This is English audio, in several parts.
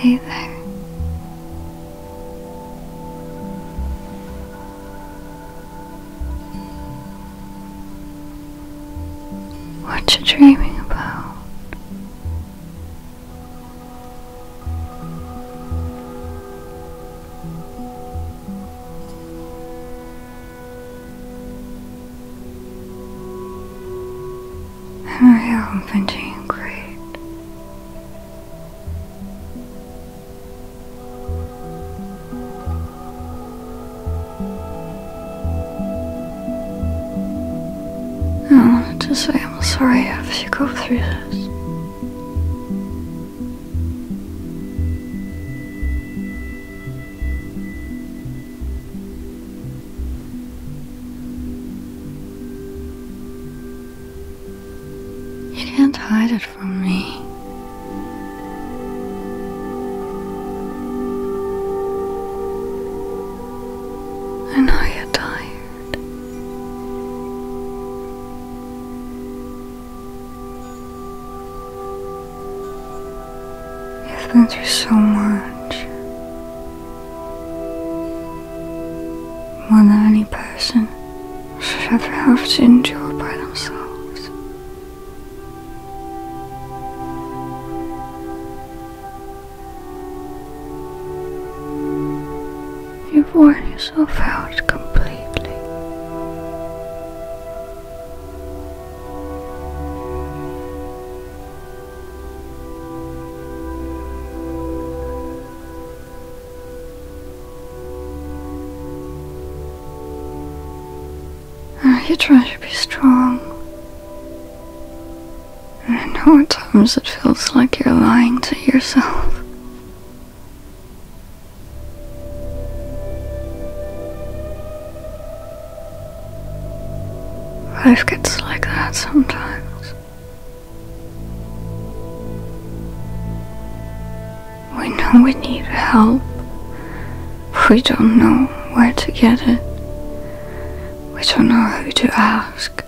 Hey there. What you dreaming about? am really been doing great. I wanted to say I'm sorry if you go through this. You can't hide it from me. I know you're tired. You've been through so much. More than any person should ever have to endure by themselves. You've worn yourself out completely. Are you trying to be strong? and I know at times it feels like you're lying to yourself. Life gets like that sometimes. We know we need help, we don't know where to get it. We don't know who to ask.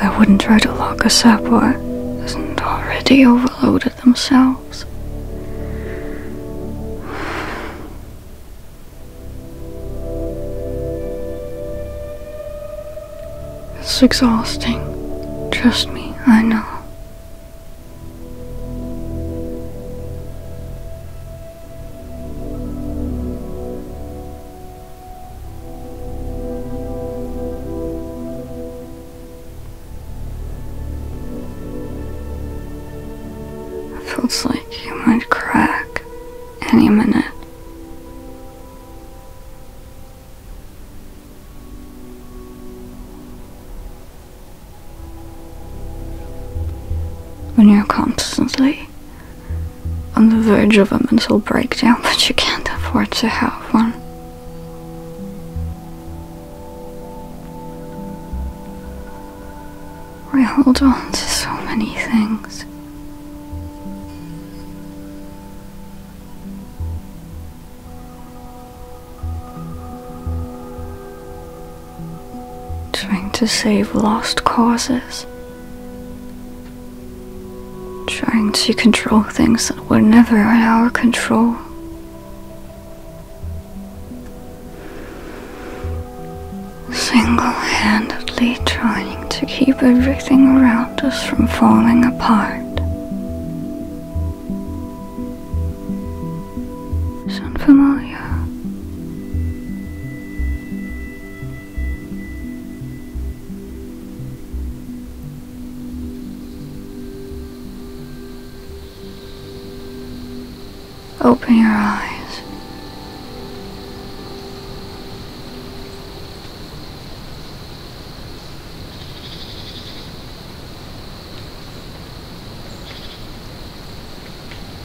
They wouldn't try to lock us up or isn't already overloaded themselves. It's exhausting. Trust me, I know feels like you might crack any minute. When you're constantly on the verge of a mental breakdown, but you can't afford to have one. We hold on to so many things trying to save lost causes, trying to control things that were never in our control. Single handedly trying to keep everything around us from falling apart. It's unfamiliar. Open your eyes.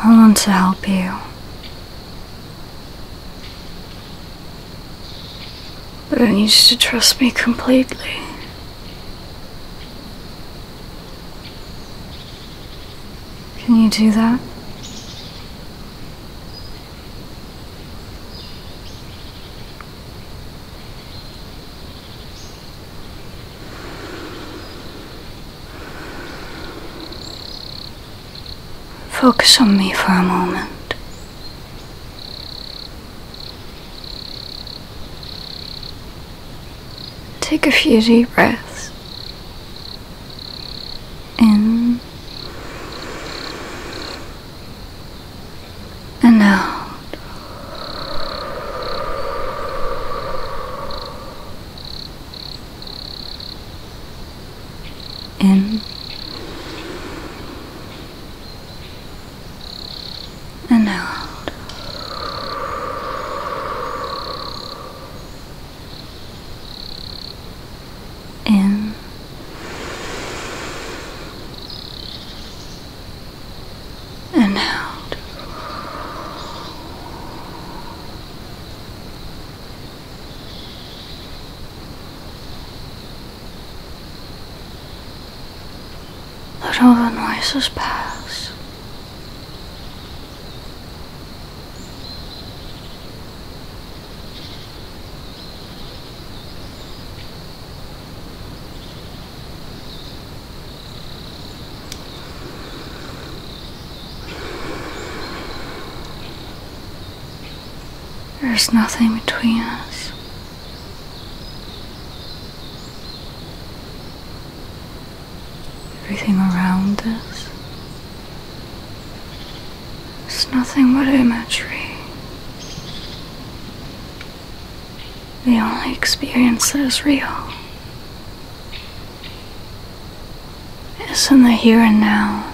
I want to help you. But I need you to trust me completely. Can you do that? Focus on me for a moment. Take a few deep breaths. In and out. In and out. In and out. Let all the noises pass. There's nothing between us. Everything around us is nothing but imagery the only experience that is real is in the here and now.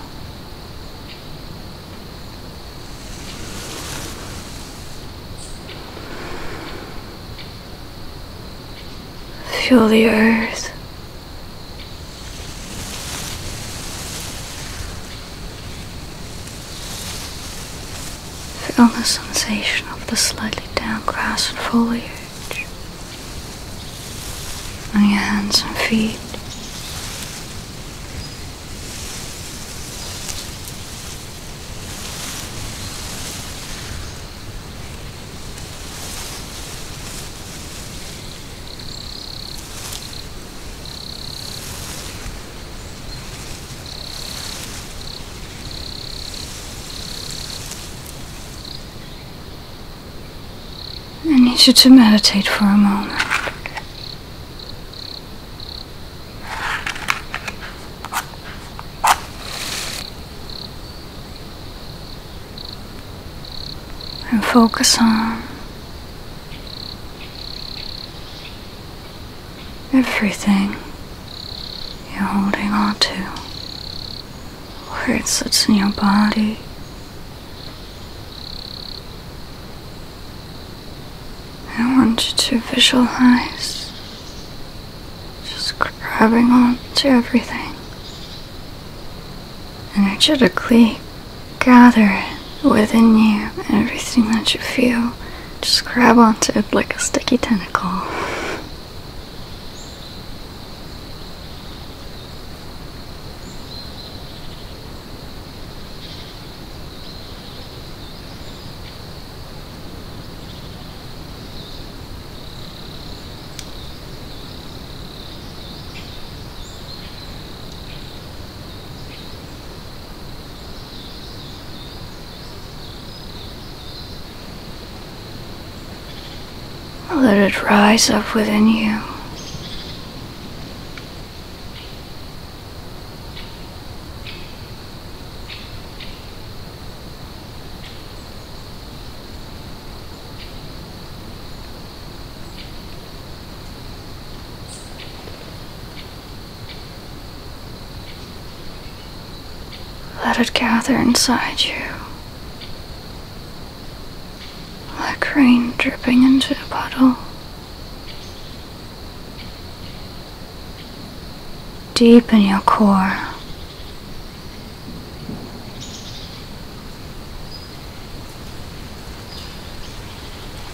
Feel the earth. Feel the sensation of the slightly damp grass and foliage on your hands and feet. I need you to meditate for a moment. And focus on everything you're holding on to, where it sits in your body. I want you to visualize just grabbing on to everything, energetically gather it within you, everything that you feel just grab onto it like a sticky tentacle. Let it rise up within you. Let it gather inside you like rain dripping into a puddle. Deep in your core.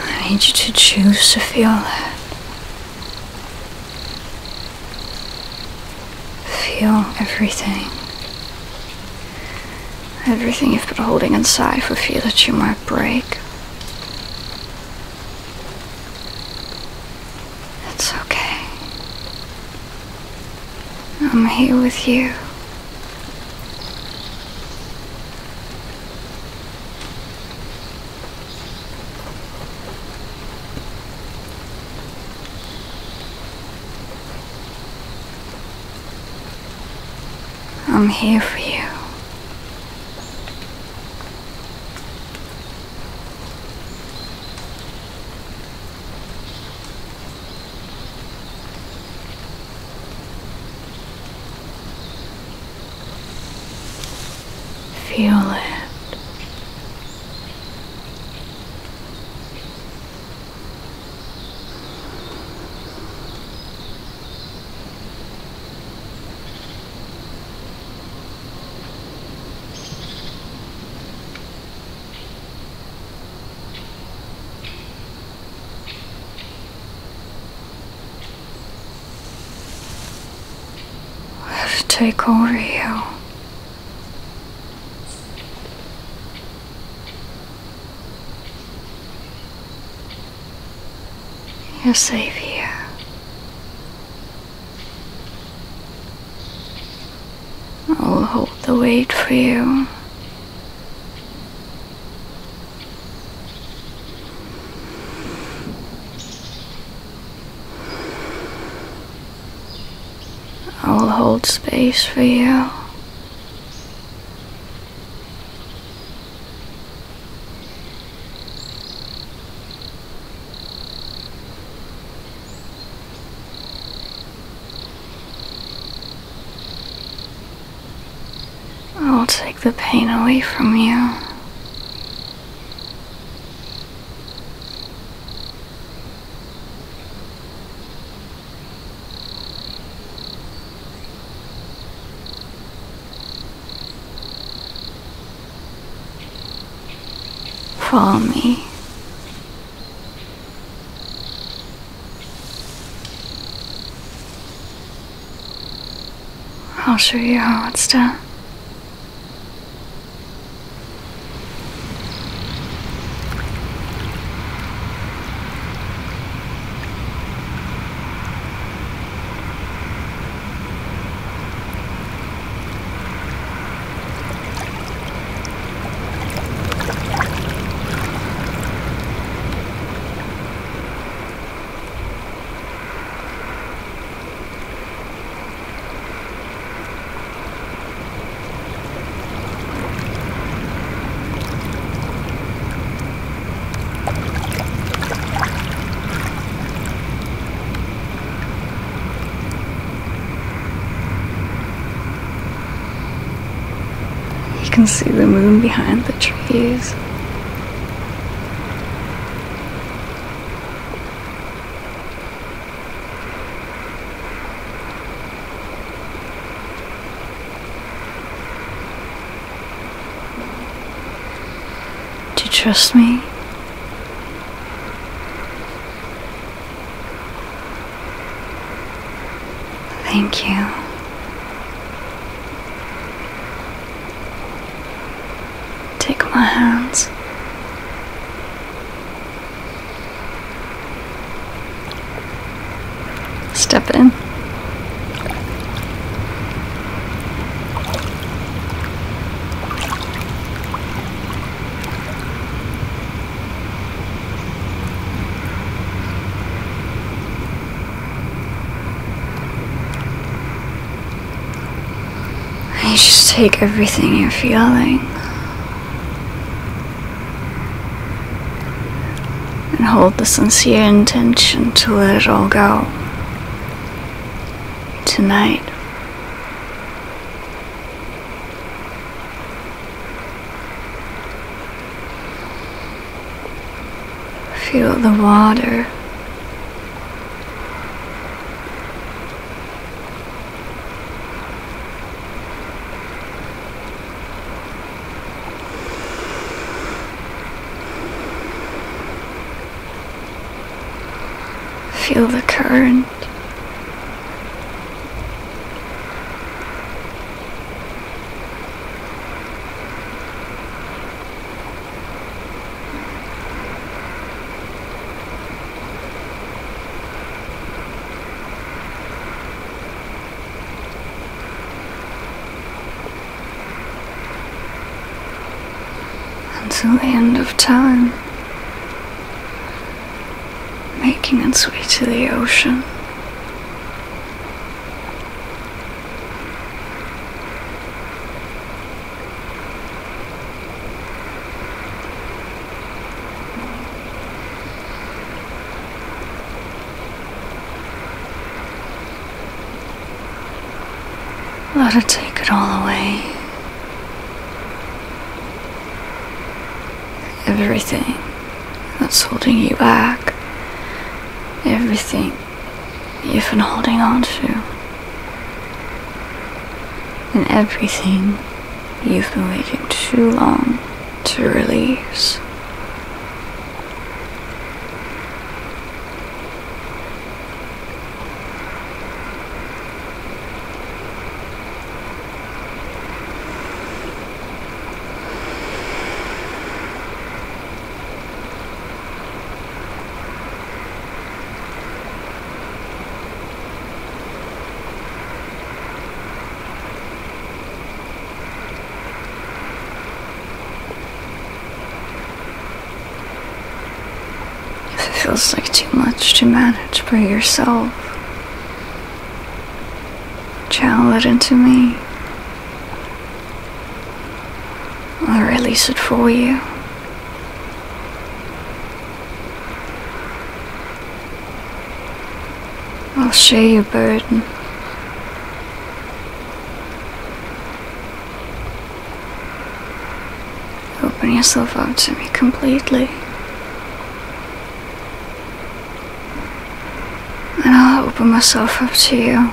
I need you to choose to feel that. Feel everything. Everything you've been holding inside for fear that you might break. It's okay. I'm here with you. I'm here for you. Feel it. I will take over you. You're safe here. I will hold the weight for you. I'll hold space for you. I will take the pain away from you. Follow me. I'll show you how it's done. You can see the moon behind the trees. Do you trust me. Thank you. Take my hands. Step in. You just take everything you're feeling and hold the sincere intention to let it all go tonight. Feel the water feel the current until the end of time, making its way to the ocean. Let her take it all away. Everything that's holding you back. Everything you've been holding on to. And everything you've been waiting too long to release. If It feels like too much to manage by yourself. Channel it into me. i release it for you. I'll share your burden. Open yourself up to me completely. And I'll open myself up to you.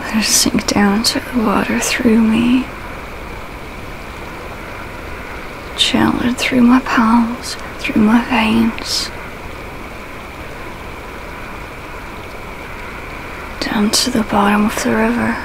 Let her sink down to the water through me, channeled through my palms, through my veins, down to the bottom of the river.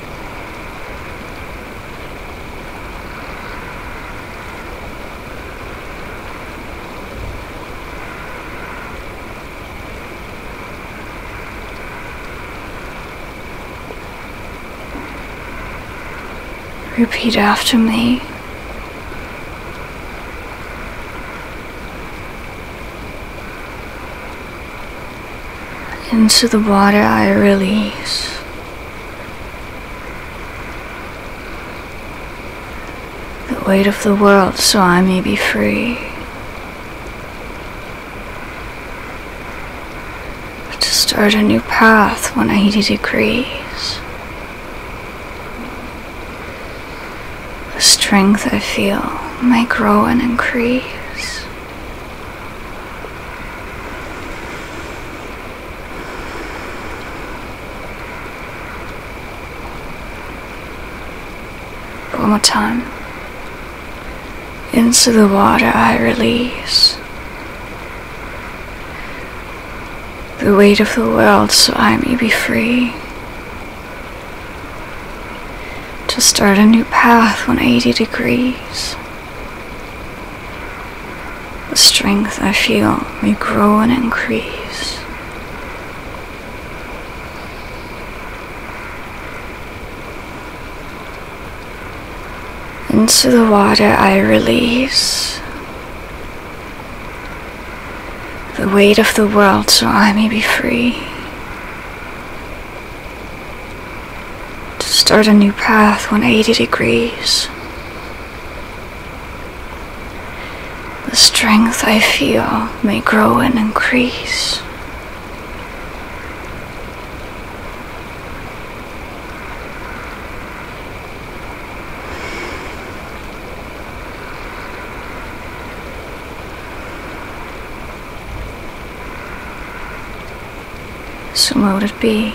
Repeat after me. Into the water I release. The weight of the world so I may be free. to start a new path 180 degrees. The strength I feel may grow and increase. One more time. Into the water I release the weight of the world so I may be free to start a new path 180 degrees. The strength I feel may grow and increase. Into the water I release the weight of the world so I may be free to start a new path 180 degrees. The strength I feel may grow and increase. So would it be?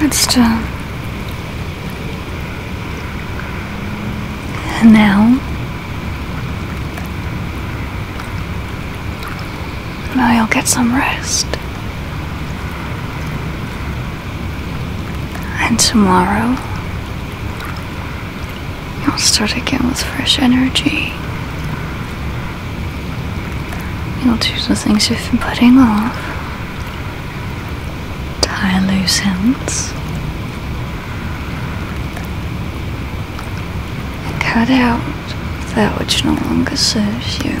But done. now, now you'll get some rest. And tomorrow, you'll start again with fresh energy. You'll do the things you've been putting off, tie loose ends, cut out that which no longer serves you.